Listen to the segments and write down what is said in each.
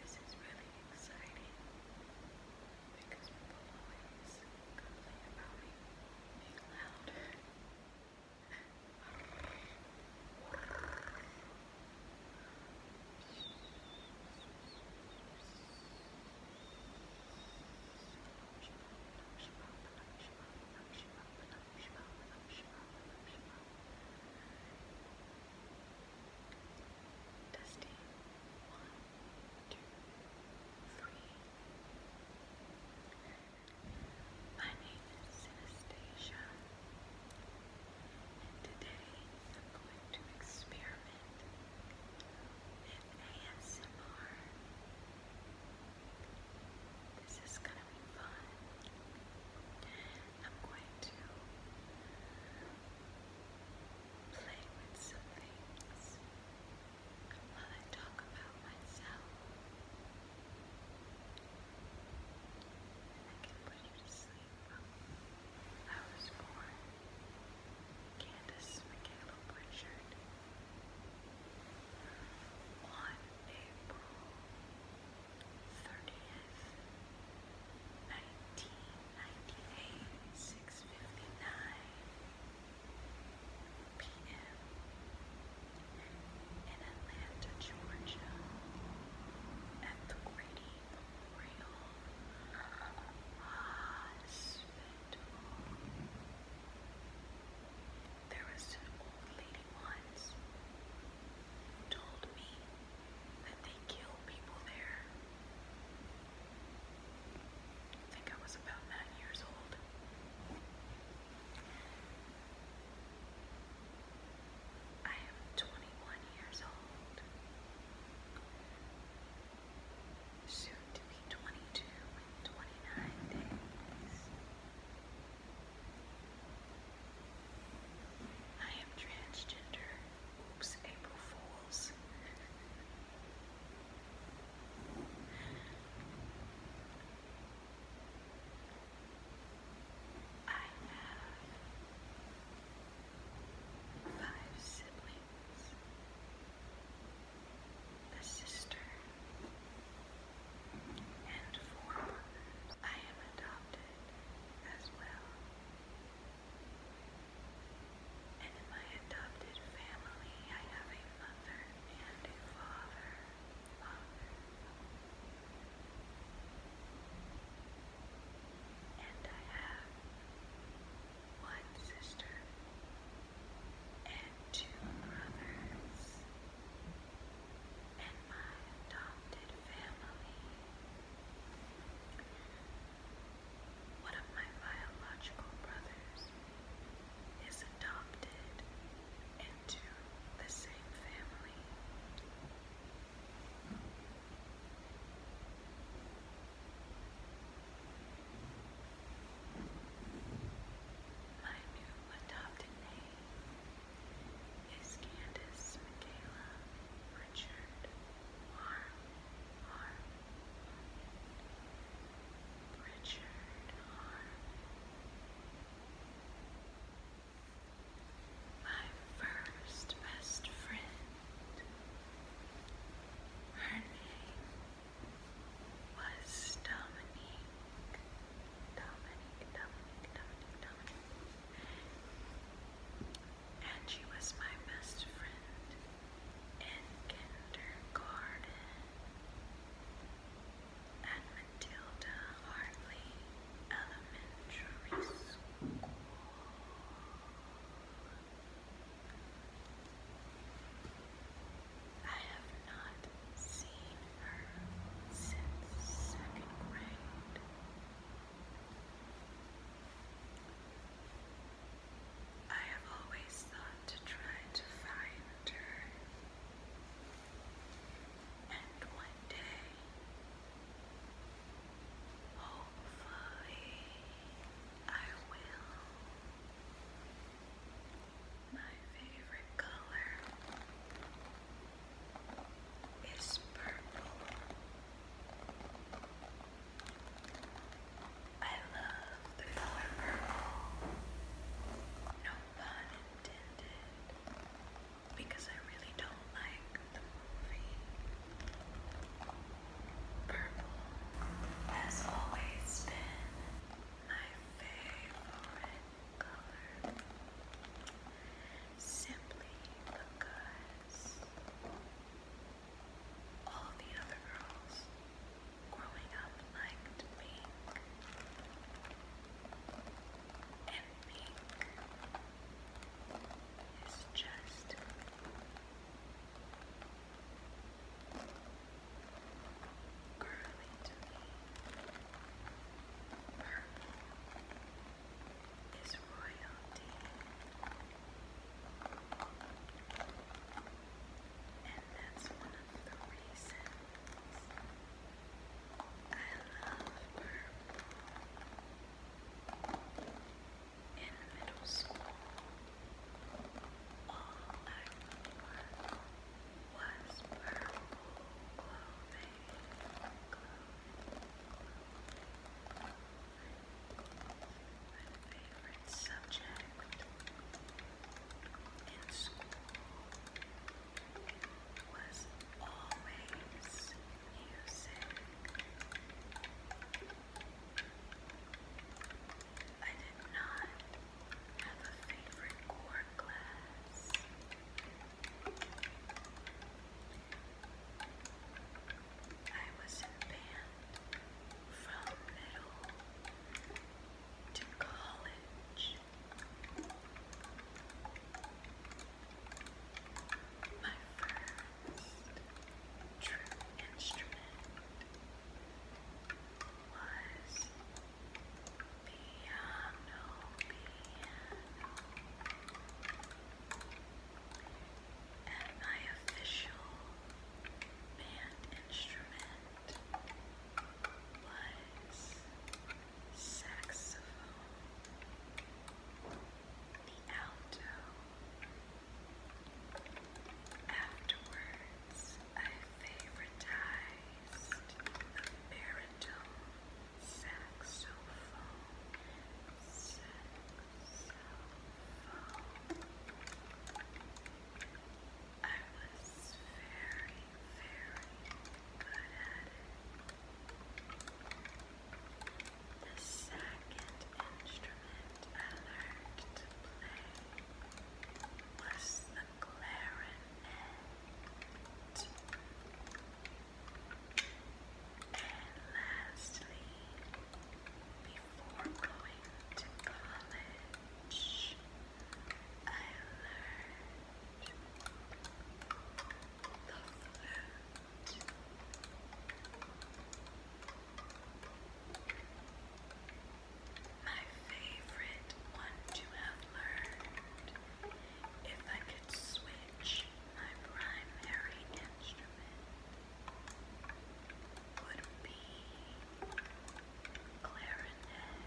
This is really exciting because people always complain about being loud. Testing. One, two, three. My name is Anastasia, and today I'm going to experiment with ASMR. This is gonna be fun. I'm going to play with some things while I talk about myself. I can put you to sleep. I was born Candace Michaela Butchard on April thirtieth, nineteen ninety eight, six fifty nine p.m. in Atlanta, Georgia, at the Grady Memorial Hospital. There was an old lady once told me that they kill people there. I think I was about nine years old. I am 21 years old. Soon to be 22 in 29 days. I am transgender. Oops, April Fools. I have five siblings. A sister, and four I am adopted as well. And in my adopted family, I have a mother and a Father. And I have one sister and two brothers and my adopted family. One of my biological brothers is adopted into the same family. My new adopted name is Candace, Michaela, Richard, Harm, Harm, Richard, Harm. My first best friend, her name was Dominique. Dominique, Dominique, And she was my best friend in kindergarten. At Matilda Hartley Elementary School. I have not seen her since second grade. I have always thought to try to find her, and one day, hopefully, I will. My favorite color is purple. I love the color purple. No pun intended. Because I really don't like the movie. Purple has always been my favorite color simply because all the other girls growing up liked pink, and pink is just curly to me. Purple is royalty. And that's one of the reasons I love purple. In middle school, all I wore was purple clothing. My favorite subject in school was always music. I did not have a favorite core I was in from middle to college. My first true instrument was piano, And my official band instrument was saxophone, the alto. Afterwards, I favoritized the baritone Saxophone. I was very, very good at it the second instrument I learned to play was the clarinet. And lastly, before going to college, I learned the flute. My favorite one to have learned if I could switch my primary instrument would be clarinet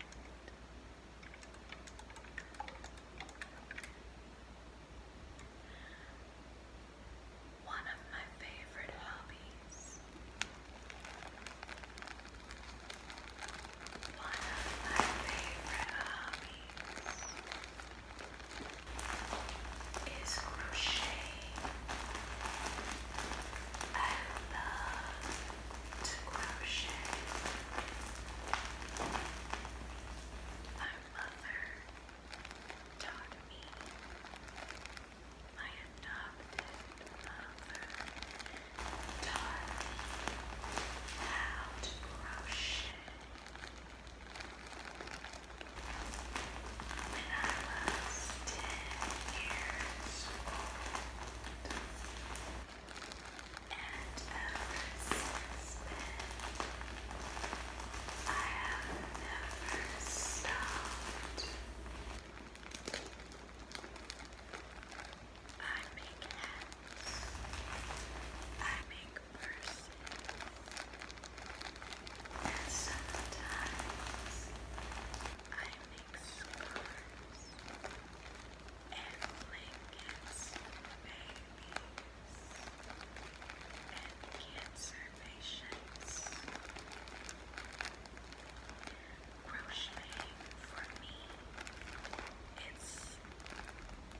one of my favorite hobbies. One of my favorite hobbies is crocheting. I love to crochet. My mother taught me my adopted mother taught me how to crochet when I was ten years old. And ever since I have never stopped. I make hats. I make purses. And sometimes I make scarves and blankets, baby cancer patients. Crocheting for me, it's remediac.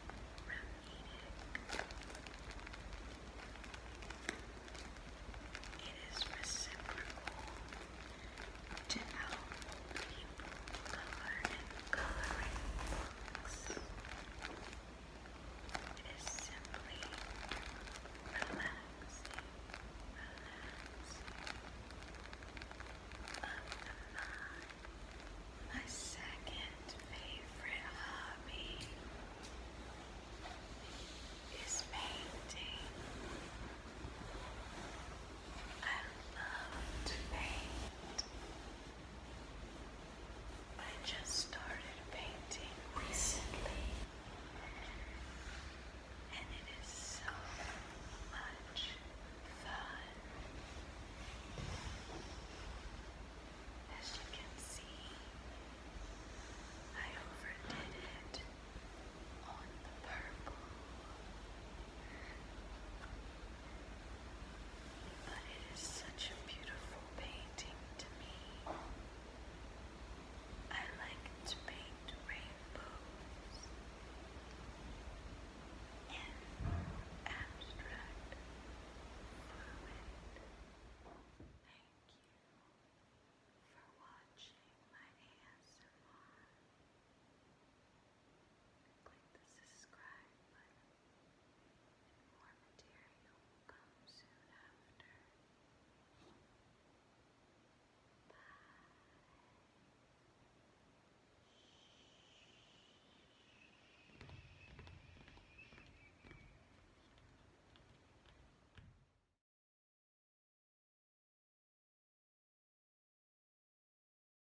It is reciprocal to help people color and coloring books is simply relaxing, relaxing of My second favorite hobby is painting. I love to paint. I just started painting recently, and it is so much fun. As you can see, I overdid it on the purple. But it is such a beautiful painting to me. I like to paint rainbows in abstract Thank you for watching my ASMR. Click the subscribe button more material will come soon after. Bye.